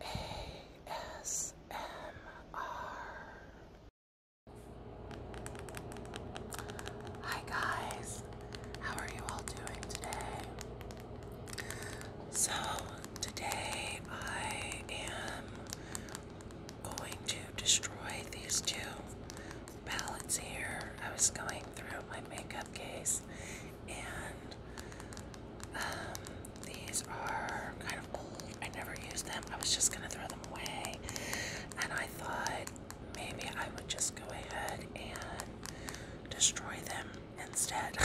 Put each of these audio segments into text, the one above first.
ASMR. Hi guys, how are you all doing today? So, today I am going to destroy these two palettes here. I was going through my makeup case and um, these are kind of old. I never used them. I was just gonna throw them away, and I thought maybe I would just go ahead and destroy them instead,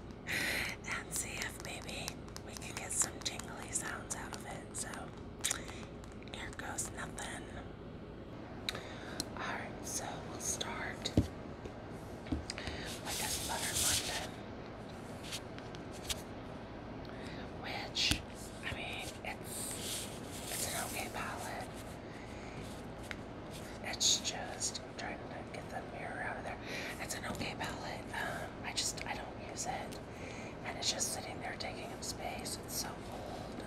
and see if maybe we can get some jingly sounds out of it. So here goes nothing. All right, so we'll start like Butter London. Which, I mean, it's it's an okay palette. It's just I'm trying to get the mirror out of there. It's an okay palette. Um, I just I don't use it, and it's just sitting there taking up space. It's so old.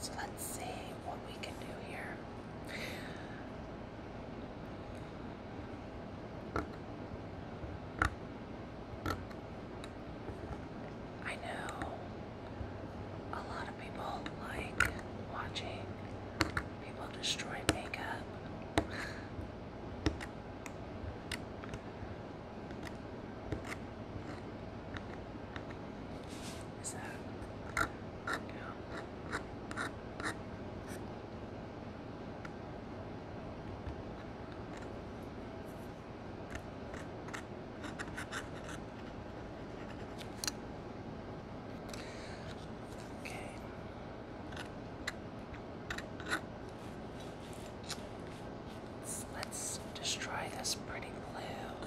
So let's see what we can do here. I know a lot of people like watching people destroy makeup. Is that Okay. Let's, let's destroy this pretty blue.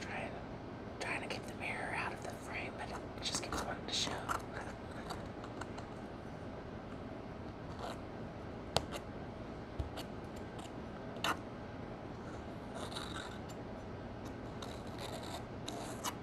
Trying, trying to keep the mirror out of the frame, but it just keeps wanting to show.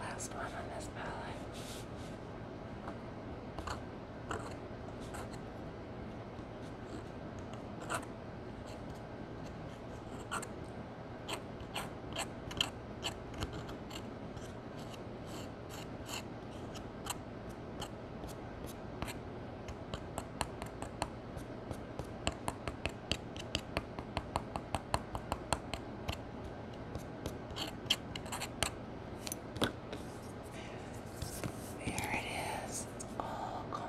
Last one on this palette. There it is. It's all gone.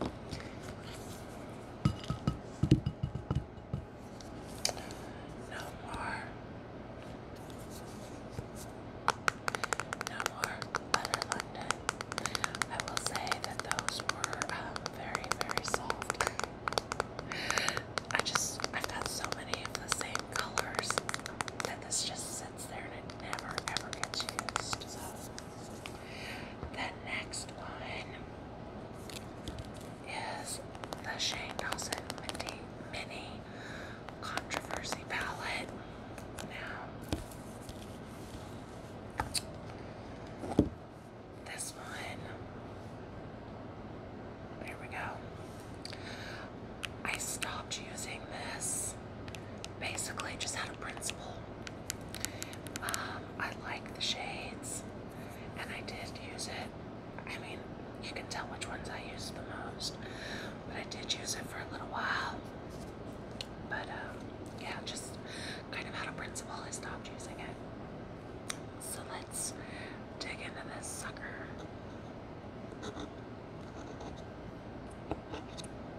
No more. No more butter London. I will say that those were um, very, very soft. I just, I've got so many of the same colors that this just sits there and it never ever gets used. The next one is the Shane Dawson Minty Mini Controversy Palette. Now, this one, there we go. I stopped using this basically just out of principle. Um, I like the shades, and I did use it. I mean, you can tell which ones I use the most, but I did use it for a little while. But um, yeah, just kind of out of principle, I stopped using it. So let's dig into this sucker.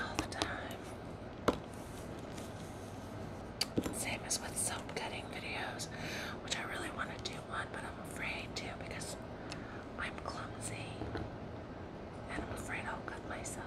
all the time. Same as with soap cutting videos, which I really want to do one, but I'm afraid to because I'm clumsy and I'm afraid I'll cut myself.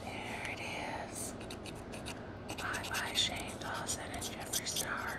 There it is. Bye bye, Shane Dawson and Jeffrey Star.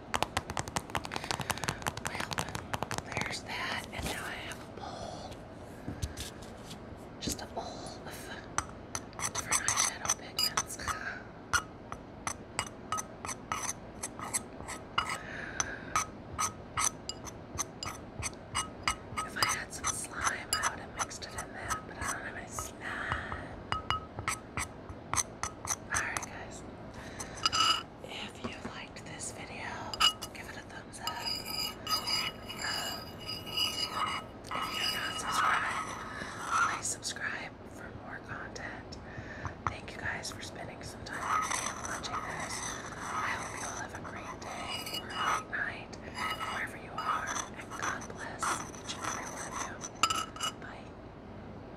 Well, there's that, and now I have a bowl. Just a bowl of different eyeshadow pigments. If I had some slime, I would have mixed it in that, but I don't have any slime. Alright, guys. If you liked this video, give it a thumbs up. Um, if you're not subscribed, please subscribe for more content. Thank you guys for spending some time watching this. I hope you all have a great day or a great night, wherever you are, and God bless each and every one of you. Bye.